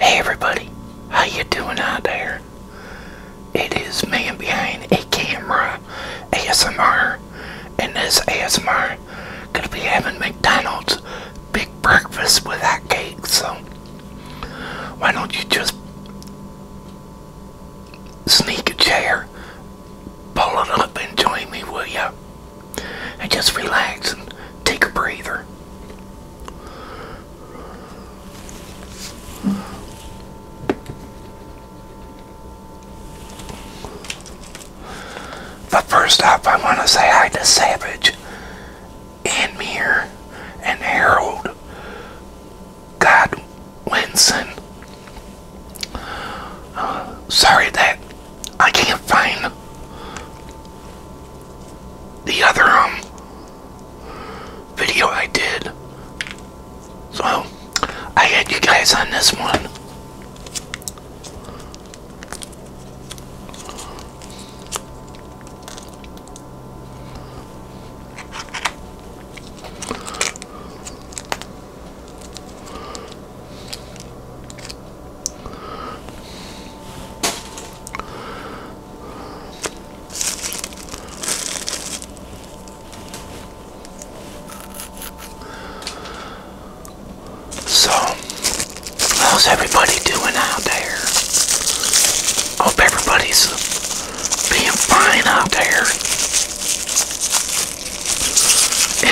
Hey everybody, how you doing out there? It is man behind a camera ASMR and this ASMR gonna be having McDonald's big breakfast with hot cake so why don't you just sneak a chair pull it up and join me will ya? and just relax and take a breather. But first off, I want to say hi to Savage and Mir and Harold God, Uh, sorry that I can't find the other um, video I did. So I had you guys on this one. So, how's everybody doing out there? Hope everybody's being fine out there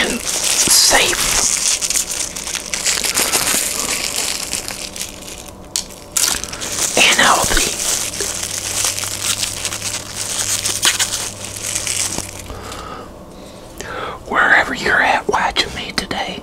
and safe and healthy. Wherever you're at watching me today,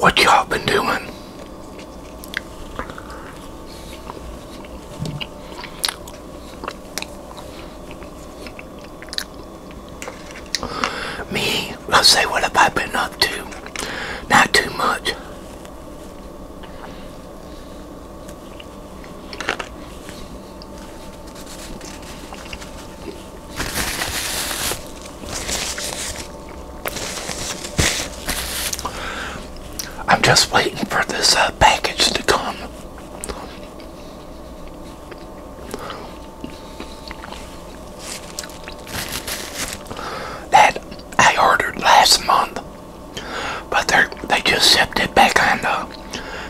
What y'all been doing? Me, I us say, what have I been up to? Not too much. I'm just waiting for this uh, package to come that I ordered last month, but they they just shipped it back on the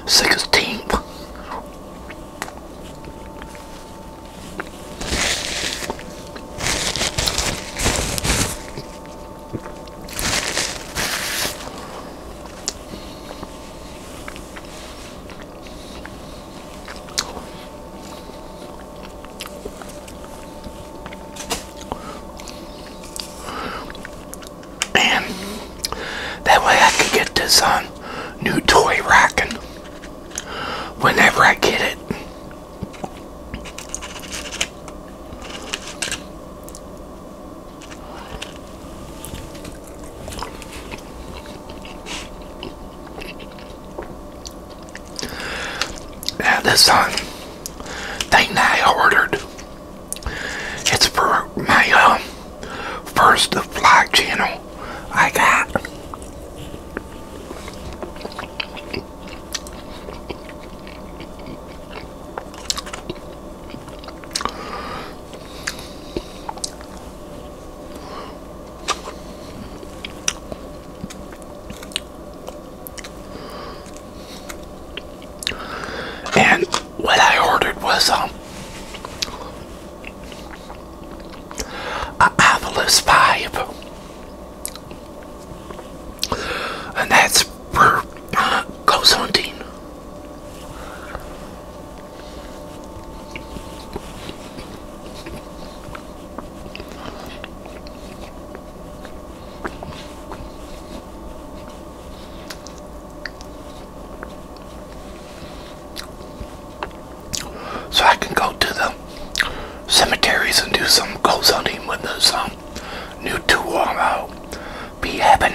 16th. And that way I could get this on uh, new toy rocking whenever I get it. Now this um, thing I ordered, it's for my um, first vlog channel I got. And what I ordered was um, a Ovilus 5 and that's for uh, so I can go to the cemeteries and do some ghost hunting with this um, new tool I'll be having.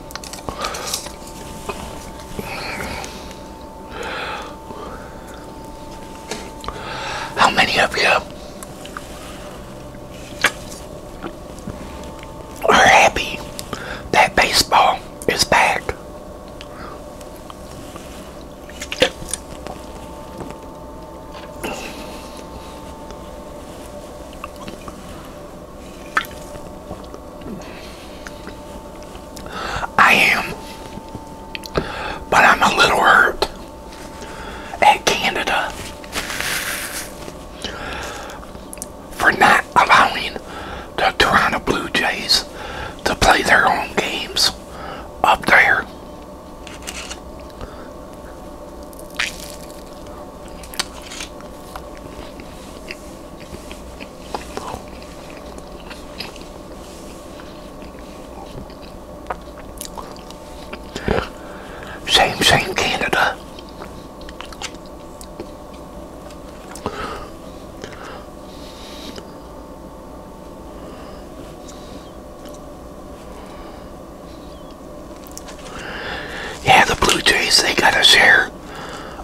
How many of you are happy that baseball is back? I am, but I'm a little hurt at Canada for not allowing the Toronto Blue Jays to play their own games up there. Same, same Canada. Yeah, the Blue Jays, they got us here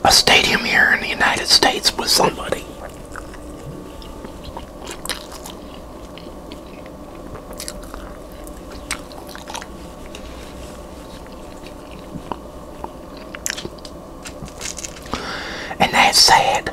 a stadium here in the United States with somebody. And that's sad.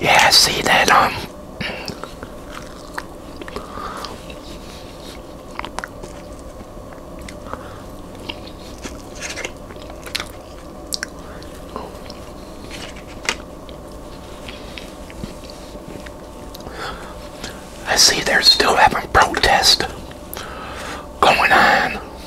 Yeah, see that, um, I see they're still having protest going on.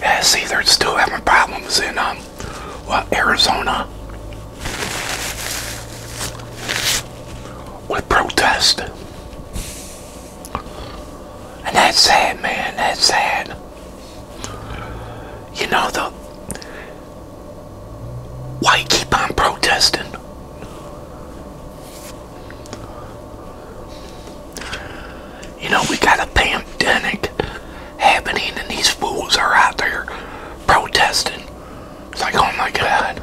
Yeah, see, they're still having problems in um, well, Arizona with protest. And that's sad, man. That's sad. You know, the why keep on protesting? You know, we got a pandemic happening and these fools are out there protesting. It's like, oh my god.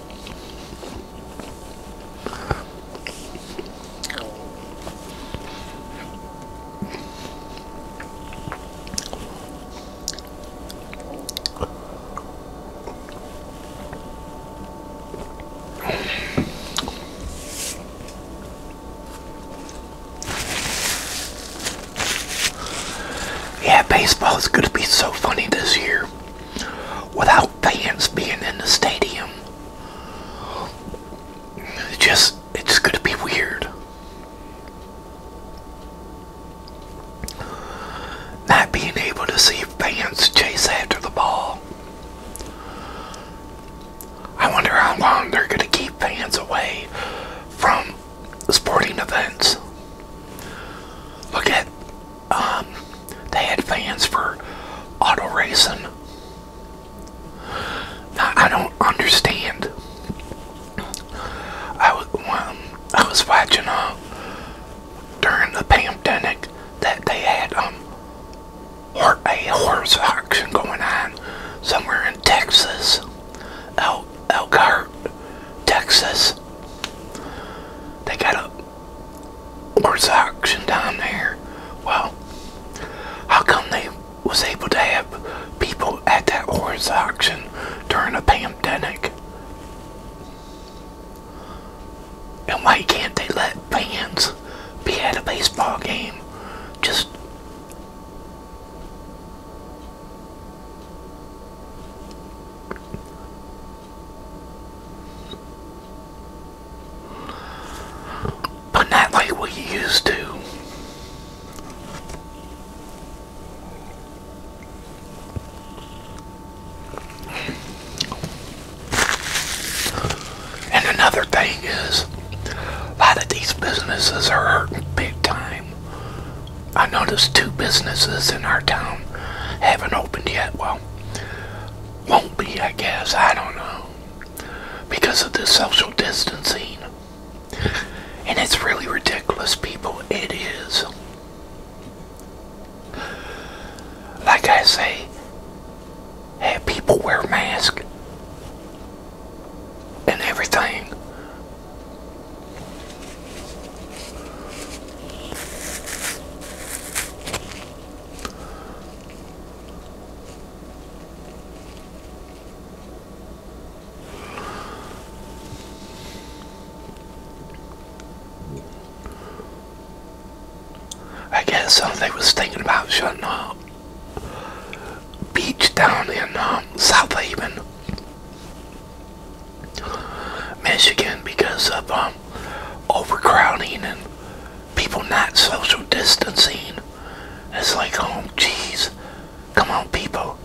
Yeah, baseball is going to be so funny this year without fans being in the stadium. It just, it's going to be weird. Not being able to see fans chase after the ball. I wonder how long they're going to keep fans away from sporting events. Look at um, they had fans for auto racing. Now, I don't understand. I was, um, I was watching uh, during the pandemic that they had um, or a horse auction going on somewhere in Texas, El Elkhart, Texas. They got a horse auction down there. Well, how come they was able to have people at that horse auction during a pandemic? And why can't they let fans be at a baseball game? Just but not like we used to. And another thing is, a lot of these businesses are hurting big time I noticed two businesses in our town haven't opened yet. Well, won't be, I guess. I don't know. Because of the social distancing. And it's really ridiculous, people. It is. Like I say, have people wear masks and everything. I guess somebody was thinking about shutting up beach down in um, South Haven. Michigan because of um, overcrowding and people not social distancing. It's like, oh, um, jeez, come on, people.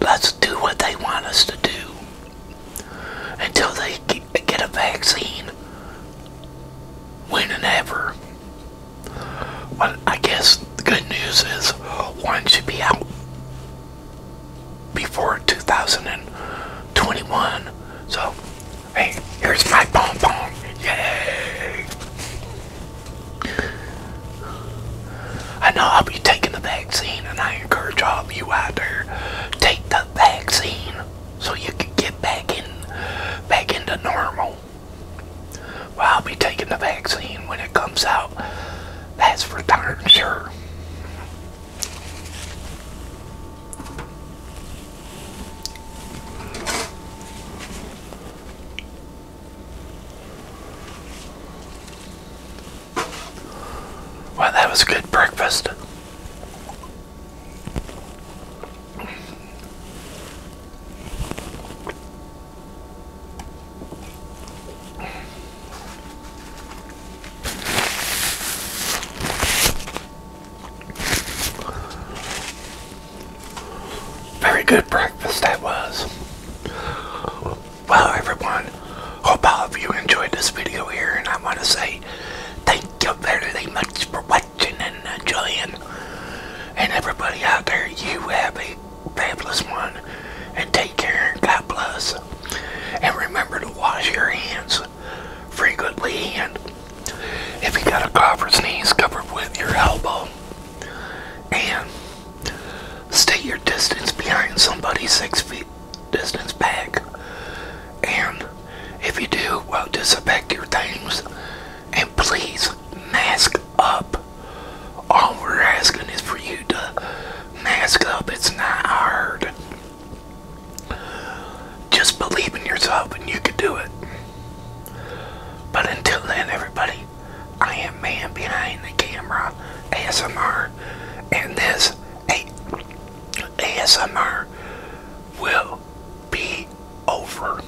Let's do what they want us to do until they get a vaccine when and ever. Well, I guess the good news is one should be out before 2021. So, hey, here's my pom pom. Yay! I know I'll be taking the vaccine, and I encourage all of you out there take the vaccine so you can get back in, back into normal. Well, I'll be taking the vaccine when it comes out that's for darn sure. Well, that was a good breakfast. Very good breakfast that was. Well, everyone, hope all of you enjoyed this video here, and I want to say thank you very much for watching and enjoying. And everybody out there, you have a fabulous one. And take care and God bless. And remember to wash your hands frequently. And if you got a cough or sneeze, cover with your elbow. And stay your distance behind somebody six feet distance back. And if you do, well, disinfect your things. And please mask up. All we're asking is for you to mask up. It's not hard. Just believe in yourself and you can do it. But until then, everybody, I am man behind the camera ASMR, and this ASMR will be over.